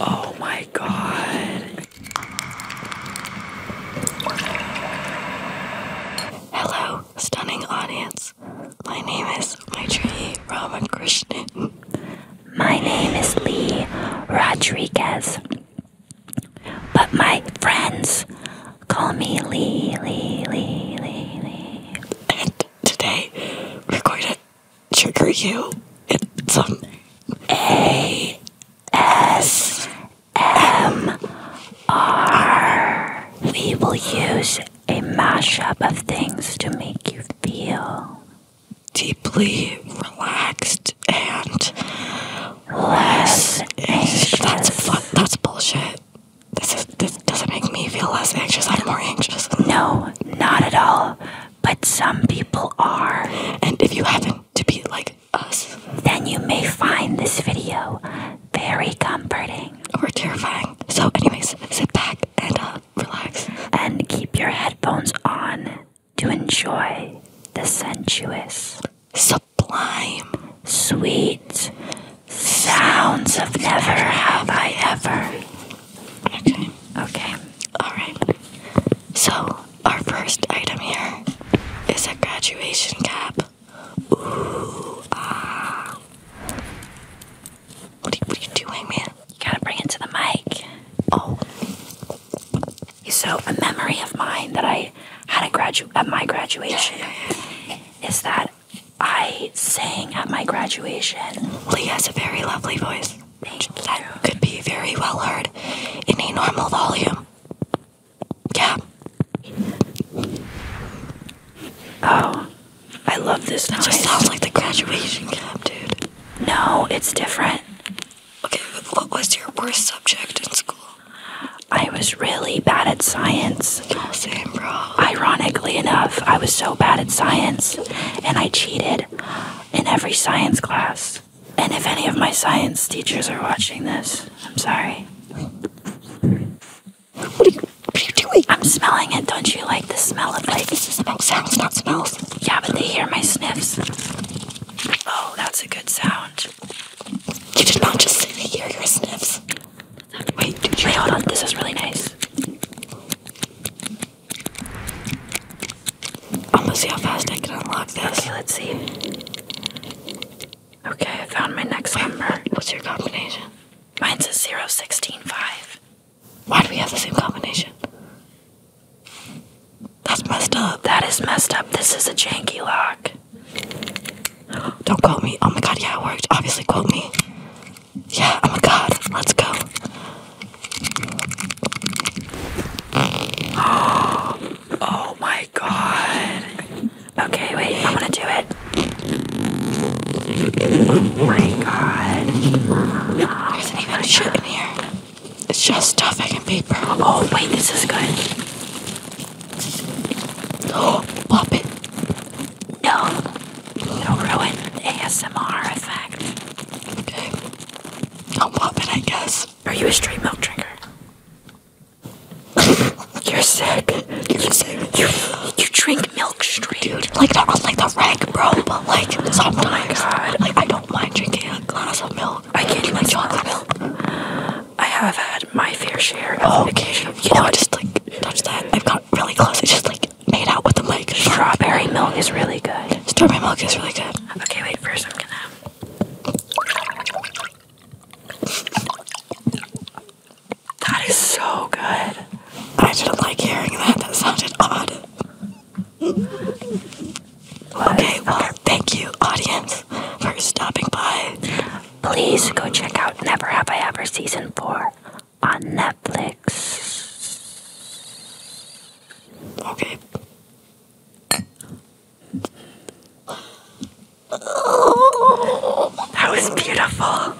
oh my god. Hello, stunning audience. My name is Maitri Ramakrishnan. My name is Lee Rodriguez. But my friends call me Lee, Lee, Lee, Lee. And today we're going to trigger you It's some um, A S M R. We will use a mashup of things to make you feel deeply relaxed and less anxious. That's, that's bullshit. This is this doesn't make me feel less anxious. I'm more anxious. No, not at all. But some people are. And if you happen to be like us, then you may find this video very comforting or terrifying. So, anyways, sit back and uh, relax, and keep your headphones on to enjoy the sensuous, sublime, sweet Sounds of never have I ever. Okay. Okay. All right. So, our first item here is a graduation cap. Ooh, ah. What are, you, what are you doing, man? You gotta bring it to the mic. Oh. So, a memory of mine that I had a gradu at my graduation is that I sang at my graduation. Lee has a very lovely voice. that could be very well heard in a normal volume. Yeah. Oh, I love this. That noise. sounds like the graduation cap, dude. No, it's different. Okay, what was your worst subject in school? I was really bad at science. Ironically enough, I was so bad at science and I cheated in every science class. And if any of my science teachers are watching this, I'm sorry. What are you, doing? I'm smelling it. Don't you like the smell of like. This is sounds, not smells. Yeah, but they hear my sniffs. Oh, that's a good sound. You did not just sit here, your sniffs. Wait, wait, hold on. This is really nice. I'm gonna see how fast I can unlock this. Okay, let's see. Okay, I found my next number. What's your combination? Mine's a 0165. Why do we have the same combination? That's messed up. That is messed up. This is a janky lock. Don't quote me. Oh my god, yeah, it worked. Obviously, quote me. Yeah, oh my god, let's go. Oh my god. Okay, wait, I'm gonna do it. Oh my god. There's even a shit in here. It's just stuff stuffing and paper. Oh, wait, this is good. Oh, pop it. No, it'll ruin the ASMR effect. I'll pop it, I guess. Are you a straight milk drinker? You're sick. You're sick. You, drink milk straight. Dude, like like the rank, bro. But like oh sometimes, oh like I don't mind drinking a glass of milk. I can't even chocolate milk. I have had my fair share of oh, You know, just like touch that. I've got really close. I just like made out with the mic. Strawberry milk is really good. Strawberry milk is really good. Okay, wait. First, I'm gonna. That is so good. I didn't like hearing that. That sounded odd. Okay, well, thank you, audience, for stopping by please go check out Never Have I Ever Season 4 on Netflix. Okay. that was beautiful.